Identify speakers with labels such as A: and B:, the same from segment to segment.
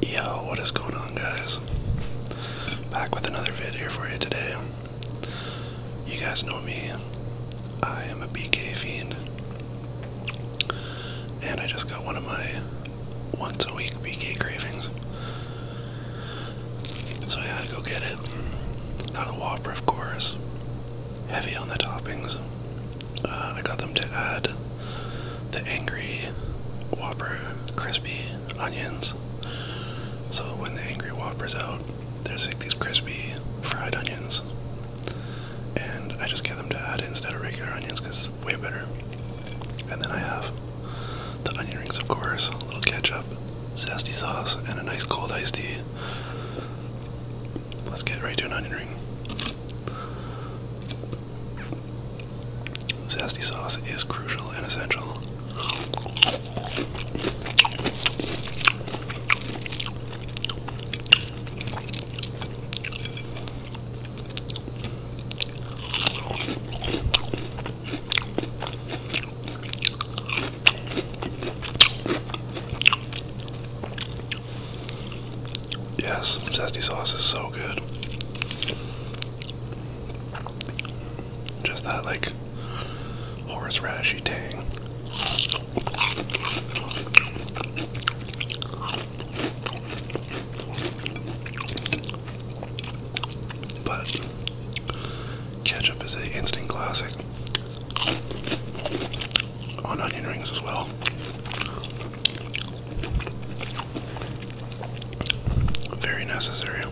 A: Yo, what is going on guys? Back with another video for you today. You guys know me. I am a BK fiend. And I just got one of my once a week BK cravings. So I had to go get it. Got a Whopper of course. Heavy on the toppings. Uh, I got them to add the angry whopper crispy onions. So when the angry whopper's out, there's these crispy fried onions. And I just get them to add instead of regular onions because it's way better. And then I have the onion rings, of course, a little ketchup, zesty sauce, and a nice cold iced tea. Let's get right to an onion ring. Zesty sauce is crucial and essential. Yes, zesty sauce is so good. Just that like horseradishy tang. But ketchup is an instant classic on onion rings as well. Very necessary.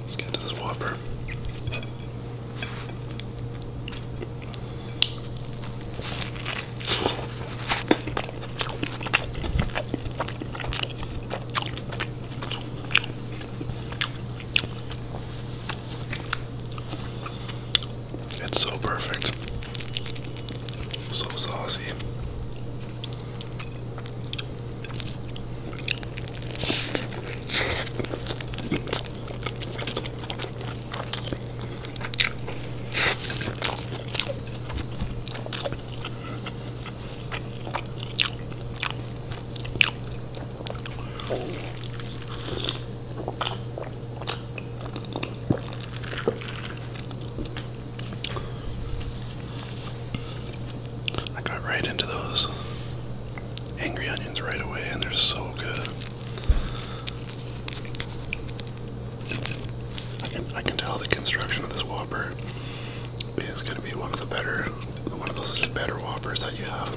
A: Let's get to this Whopper. It's so perfect. So saucy. I got right into those angry onions right away, and they're so good. I can, I can tell the construction of this Whopper it's going to be one of the better, one of those better Whoppers that you have.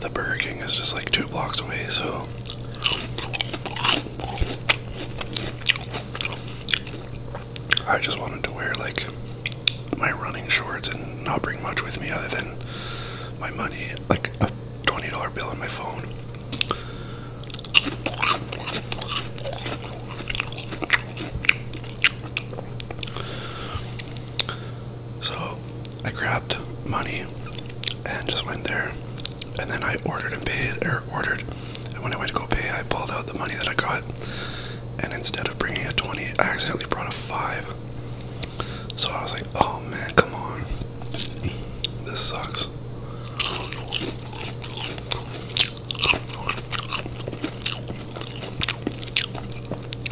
A: The Burger King is just like two blocks away, so I just wanted to wear like my running shorts and not bring much with me other than my money, like a $20 bill on my phone. So I grabbed money and just went there. And then I ordered and paid, or ordered. And when I went to go pay, I pulled out the money that I got and instead of bringing a 20, I accidentally brought a 5. So I was like, oh man, come on. This sucks.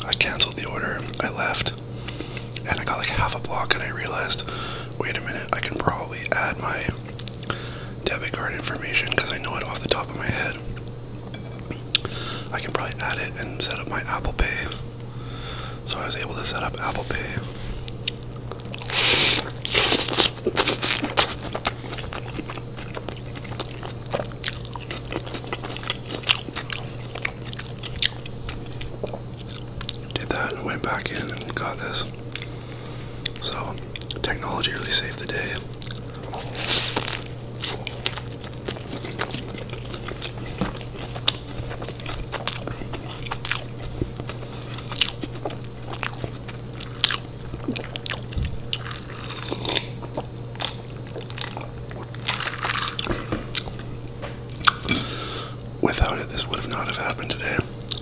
A: I canceled the order, I left, and I got like half a block, and I realized wait a minute, I can probably add my debit card information because I know it off the top of my head. I can probably add it and set up my Apple Pay. So I was able to set up Apple Pay. Did that went back in and got this. So technology really saved the day. Without it, this would have not have happened today.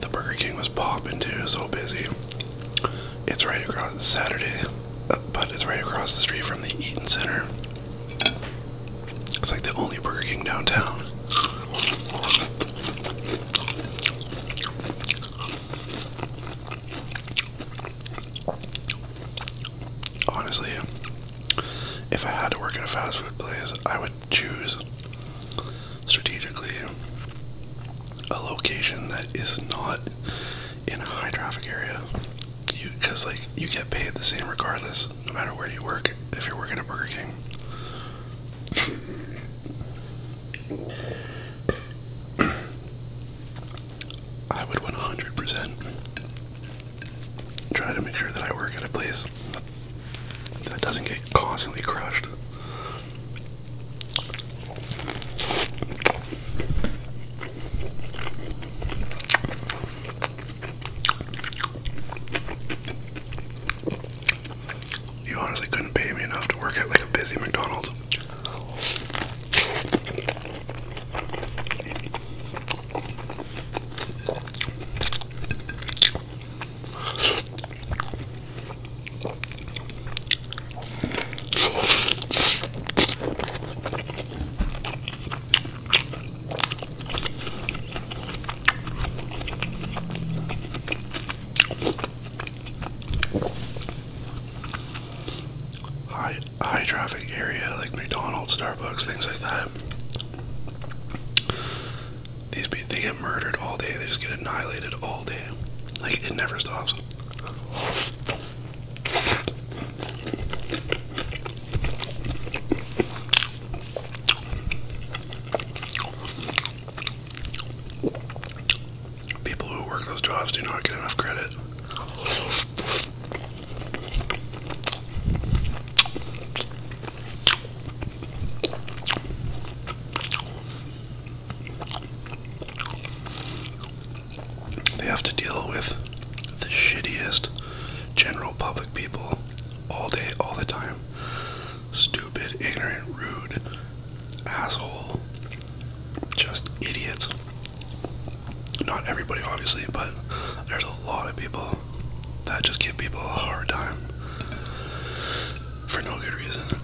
A: The Burger King was popping too, so busy. It's right across Saturday, uh, but it's right across the street from the Eaton Center. It's like the only Burger King downtown. Honestly, if I had to work at a fast food place, I would choose strategically a location that is not in a high traffic area because like you get paid the same regardless no matter where you work if you're working at burger king i would 100% try to make sure that i work at a place that doesn't get constantly crushed. You honestly couldn't pay me enough to work at like a busy McDonald's. High, high traffic area like McDonald's, Starbucks, things like that. These people, they get murdered all day. They just get annihilated all day. Like, it never stops. People who work those jobs do not get enough credit. They have to deal with the shittiest general public people all day, all the time. Stupid, ignorant, rude, asshole, just idiots. Not everybody, obviously, but there's a lot of people that just give people a hard time for no good reason.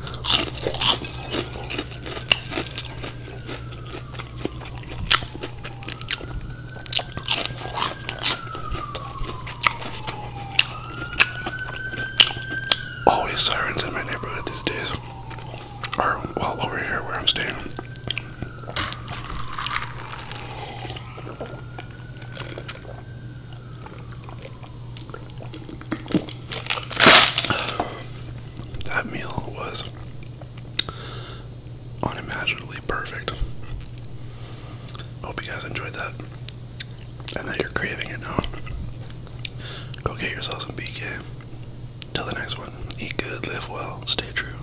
A: Always sirens in my neighborhood these days, or well, over here where I'm staying. That meal was unimaginably perfect. Hope you guys enjoyed that and that you're craving it now. Go get yourself some BK. Till the next one, eat good, live well, stay true.